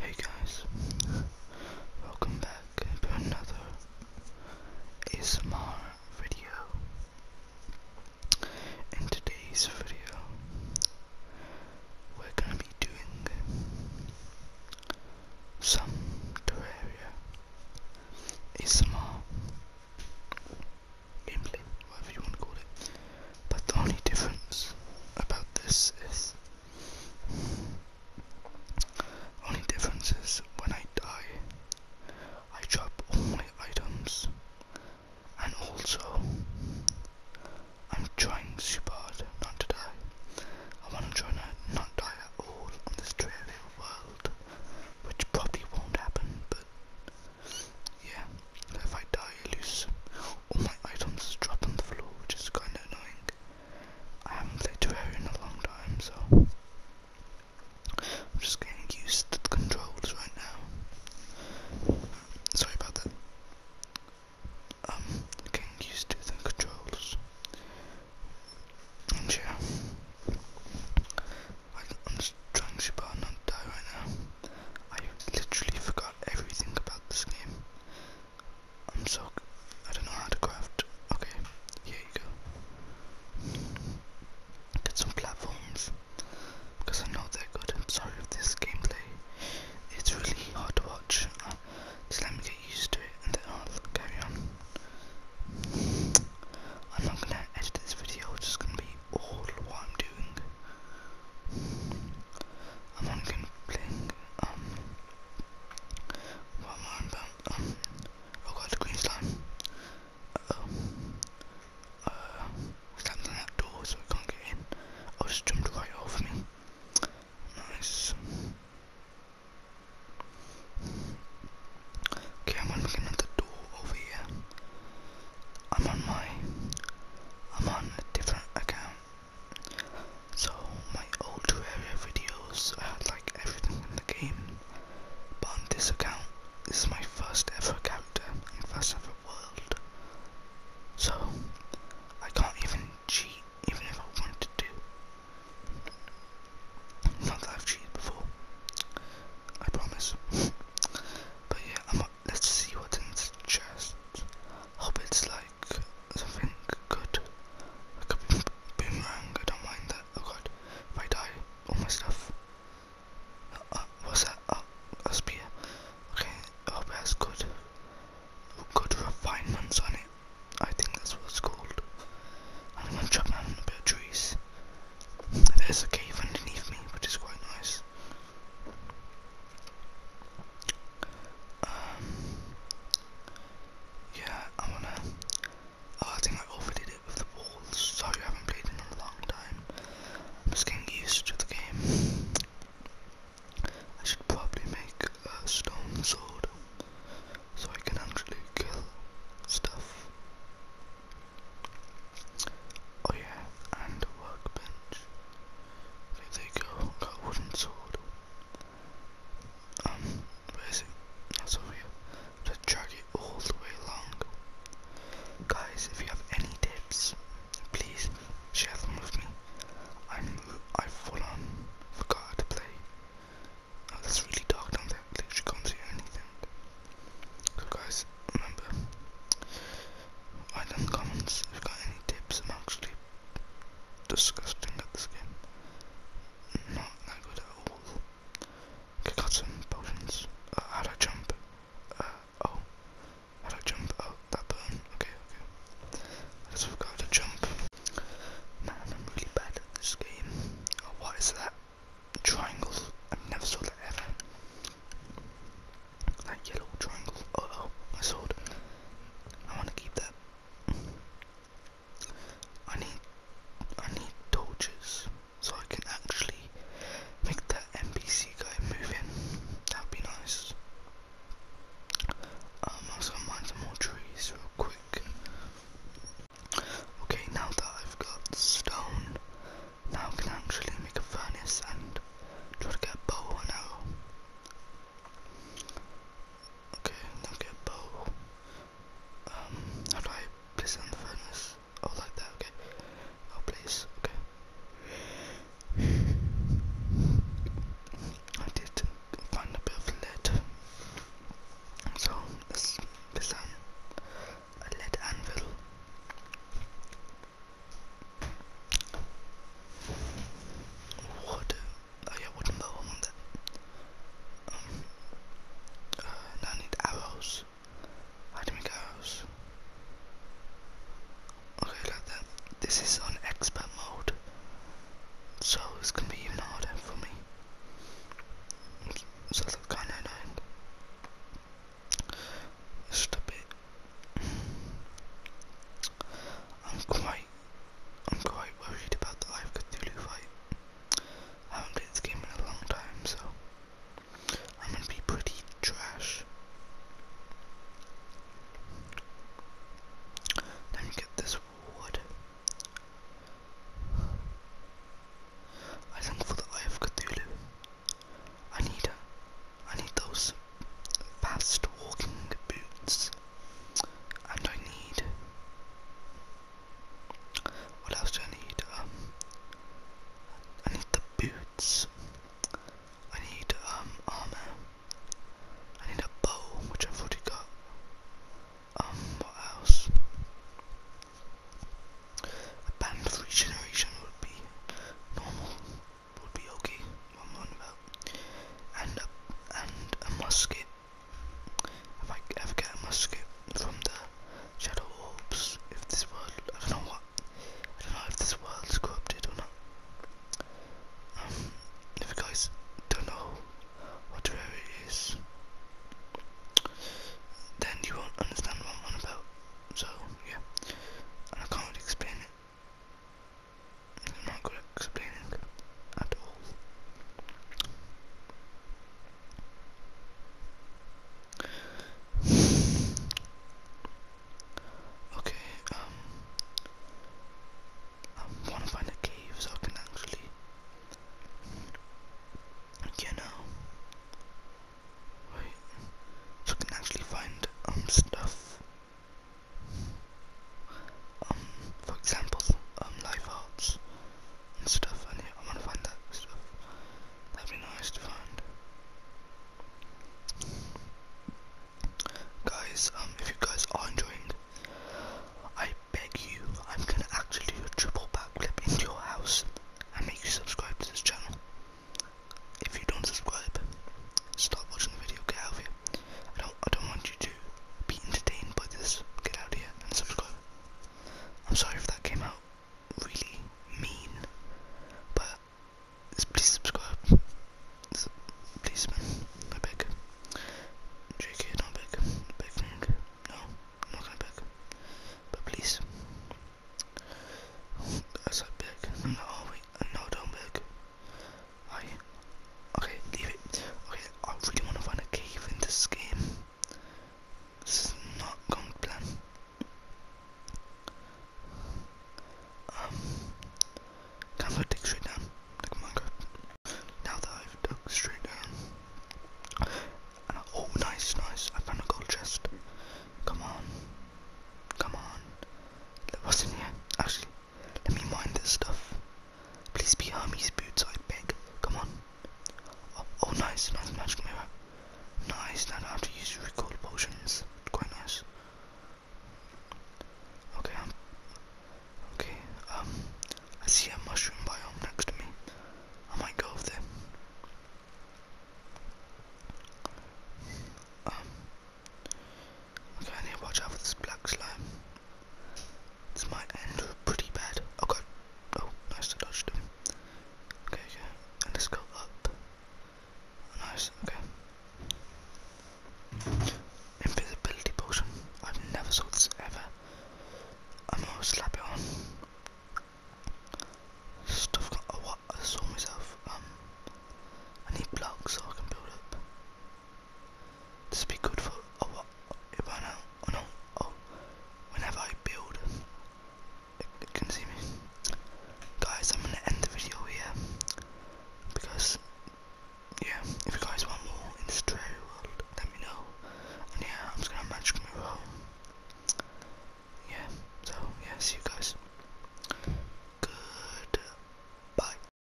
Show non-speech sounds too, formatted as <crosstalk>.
Hey guys, welcome back to another ASMR video. In today's video, we're gonna be doing some Terraria ASMR gameplay, whatever you want to call it. But the only difference about this is only difference is when I die I drop all my items and also I'm trying super hard not to die. I wanna try to not die at all on this trivial world. Which probably won't happen, but yeah, if I die I lose all my items drop on the floor, which is kind of annoying. I haven't played Terraria in a long time, so I'm just getting used to the controls right now. Sorry about that. Um, getting used to the controls. And yeah, I, am just trying super not die right now. I literally forgot everything about this game. I'm so I don't know how to craft. Okay, here you go. Get some platforms because I know they're good. I'm sorry if this gameplay it's really hard to watch. Uh, just let me get used to it and then I'll carry on. I'm not gonna edit this video, it's just gonna be all what I'm doing. and one can playing um what am I on about? Um oh god the green slime. Uh oh. Uh something that door so we can't get in. Oh just jumped right over me. Nice. Okay, I'm on looking at the door over here. I'm on my I'm on a different account So my old area videos I had like everything in the game, but on this account this is my first ever character and first ever world. So I can't even cheat even if I wanted to. Not that I've cheated before. I promise. <laughs> but yeah, I'm Let's see what's in his chest. Hope it's like something good. Like a boomerang. I don't mind that. Oh god. If I die, all my stuff. Uh, uh, what's that? Uh, a spear. Okay, hope it good, good refinements on it. I think that's what it's called. I'm gonna chop down a trees. There's a cave underneath me, which is quite nice. Um, yeah, I'm gonna. Oh, I think I overdid it with the walls. Sorry, I haven't played in a long time. I'm just getting used to the game. I should probably make a stone sword so I can actually kill stuff. Oh yeah, and a workbench. There they go. got a wooden sword. Um, where is it? That's over here. To drag it all the way along. Guys, if you have any tips, please share them with me. I'm I full on forgot how to play. Oh, that's really dark down there. I can't see anything. So guys, remember item comments if you got any tips. I'm actually disgusting at this game. Not that good at all. got some potions. Uh, how'd I jump? Uh, oh. How'd I jump? Oh, that button. Okay, okay. I just forgot to jump. Man, I'm really bad at this game. Oh, what is that? Triangle. I have never saw that ever. That yellow triangle. Uh oh, my sword. I want to keep that. I need, I need torches so I can actually make that NPC guy move in. That'd be nice. I'm um, also gonna mine some more trees real quick. Okay, now that I've got stone, now I can actually make a furnace and try to get a bow or no? Okay, now bow. Um, how do I place on the furnace? Oh, like that, okay. I'll oh, okay. I did find a bit of lead. So, this is um, a lead anvil wood. Oh yeah, wooden bow. I want that. Um, uh, I need arrows. How do we make arrows? Okay, like that. This is on expert mode, so it's gonna be even harder for me. So that's kind of Just a bit. I'm quite I'm quite worried about the Eye of Cthulhu fight. I haven't played this game in a long time, so I'm gonna be pretty trash. Let me get this wood. I think for the Eye of Cthulhu, I need, a, I need those Fast walking boots. And I need. What else do I need? Um, I need the boots. I need um armor. I need a bow, which i already got. Um, what else? A band of regeneration would be normal would be okay. I'm on about and a, and a musket. If I ever get a musket from the shadow orbs, if this world, I don't know what, I don't know if this world's corrupted or not. Um, if you guys don't know what rare it is, then you won't understand what I'm on about. So yeah, and I can't really explain it. I'm not good at explaining at all. <sighs> Okay, um, I want to find a cave I can actually, you know, wait, so I can actually find um stuff. Um, for example, um, live arts and stuff, I yeah, I want to find that stuff. That'd be nice to find. Guys, um, if you guys are enjoying, I beg you, I'm gonna actually do a triple backflip into your house and make you subscribe to this channel. If you don't subscribe, stop watching the video, get out of here. I don't I don't want you to be entertained by this. Get out here and subscribe. I'm sorry if that came out really mean, but please subscribe. Please, man, I beg. JK, not beg. Begging. No, I'm not gonna beg. But please. As I beg. No, wait. No, don't beg. I okay, leave it. Okay, I really wanna find a cave in this game. This is not going to plan. Um can I dig straight down? Like Minecraft. Now that I've dug straight down. oh nice, nice. I found a gold chest. Come on. Come on. What's in here? Actually let me mind this stuff. Please be Hermes' boots, I beg. Come on. Oh, oh nice, nice magic mirror. Nice, now I have to use recall potions. Quite nice. Okay, um, okay, um, I see a mushroom biome next to me. I might go over there. Um, Okay, I need to watch out for this black slime. This might end pretty bad. Okay. Oh, oh, nice to dodge them. Okay, okay. And let's go up. nice, okay. Invisibility potion. I've never saw this ever. I'm gonna slap it on. Stuff got oh what I saw myself. Um I need blocks so I can build up. This be good for oh what if I know oh no oh whenever I build it, it can see me. Guys I'm gonna end the video here because yeah, if you guys want more in this trailer world, let me know. And yeah, I'm just gonna magic move home. Yeah, so yeah, see you guys. Good bye.